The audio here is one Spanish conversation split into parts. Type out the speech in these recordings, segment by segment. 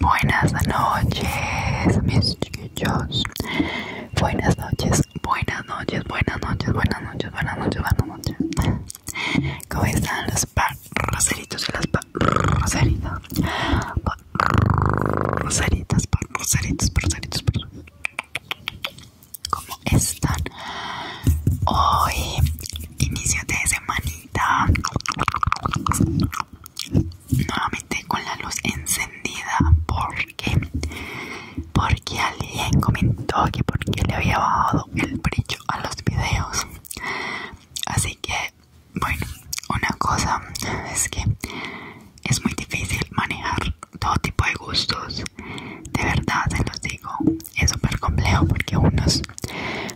Buenas noches, mis chiquillos. Buenas noches, buenas noches, buenas noches, buenas noches, buenas noches, buenas noches. ¿Cómo están los pa-roseritos y las parroseritas? pa rosaritos, roseritos, rosaritos? cómo están hoy inicio de semanita nuevamente con la luz encendida porque porque alguien comentó que porque le había bajado el brillo a los videos así que bueno una cosa es que es muy difícil manejar todo tipo de gustos. De verdad se los digo, es súper complejo porque unos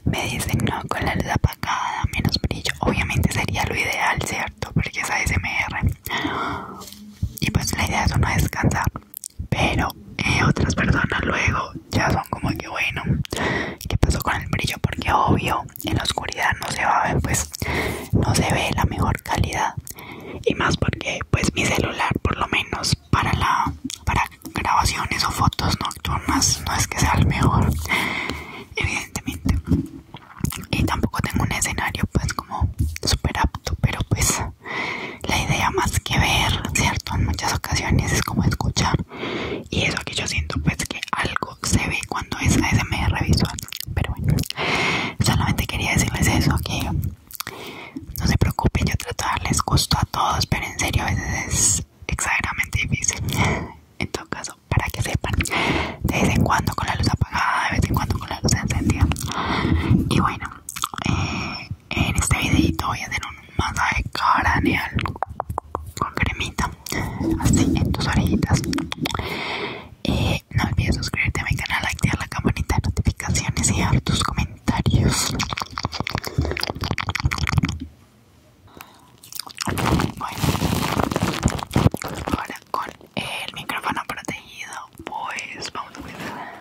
me dicen no con la luz apagada, menos brillo. Obviamente sería lo ideal, ¿cierto? Porque es ASMR. Y pues la idea es uno descansar. Pero eh, otras personas luego ya son como que bueno, ¿qué pasó con el brillo? Porque obvio, en la oscuridad no se va a ver, pues no se ve la mejor calidad y más porque pues mi celular por lo menos para la para grabaciones o fotos nocturnas no es que sea el mejor evidentemente y tampoco tengo un escenario pues como super apto pero pues la idea más que ver cierto en muchas ocasiones es como escuchar y eso que yo siento pues que algo se ve cuando es ASMR visual pero bueno, solamente quería decirles eso, que no se preocupen, yo trato de darles gusto a todos, pero en serio a veces es exageradamente difícil. En todo caso, para que sepan, de vez en cuando con la luz apagada, de vez en cuando con la luz encendida. Y bueno, eh, en este videito voy a hacer un masaje craneal con cremita, así en tus orejitas. Eh, no olvides suscribirte a mi canal, activar la campanita de notificaciones y dejar tus comentarios. Bueno, ahora con el micrófono protegido, pues vamos a empezar.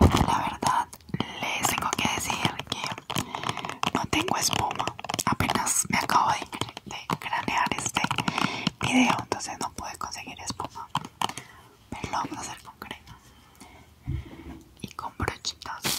La verdad, les tengo que decir que no tengo espuma. Apenas me acabo de, cranear este video, entonces no pude conseguir espuma. Pero lo vamos a hacer con crema y con brochitas.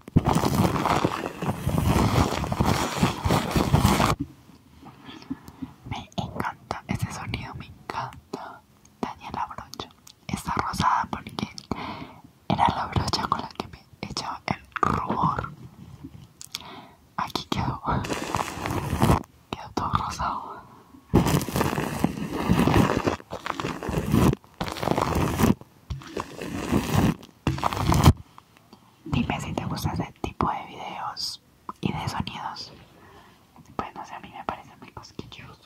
Me encanta ese sonido, me encanta. la brocha. Está rosada porque era la brocha con la que me echaba el rubor. Aquí quedó. Quedó todo rosado. Dime si te gusta ese tipo de videos y de sonidos. Pues no sé, a mí me parecen muy cosquillosos.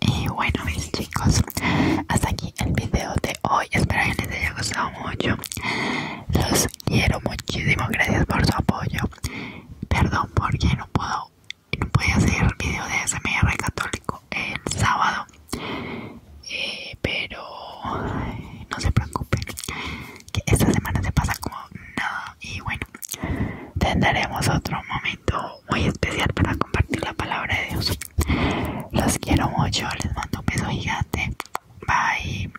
Y bueno mis chicos, hasta aquí el video de hoy. Espero que les haya gustado mucho quiero muchísimo, gracias por su apoyo. Perdón porque no puedo no podía hacer el video de SMR católico el sábado. Eh, pero no se preocupen, que esta semana se pasa como nada. Y bueno, tendremos otro momento muy especial para compartir la palabra de Dios. Los quiero mucho, les mando un beso gigante. Bye.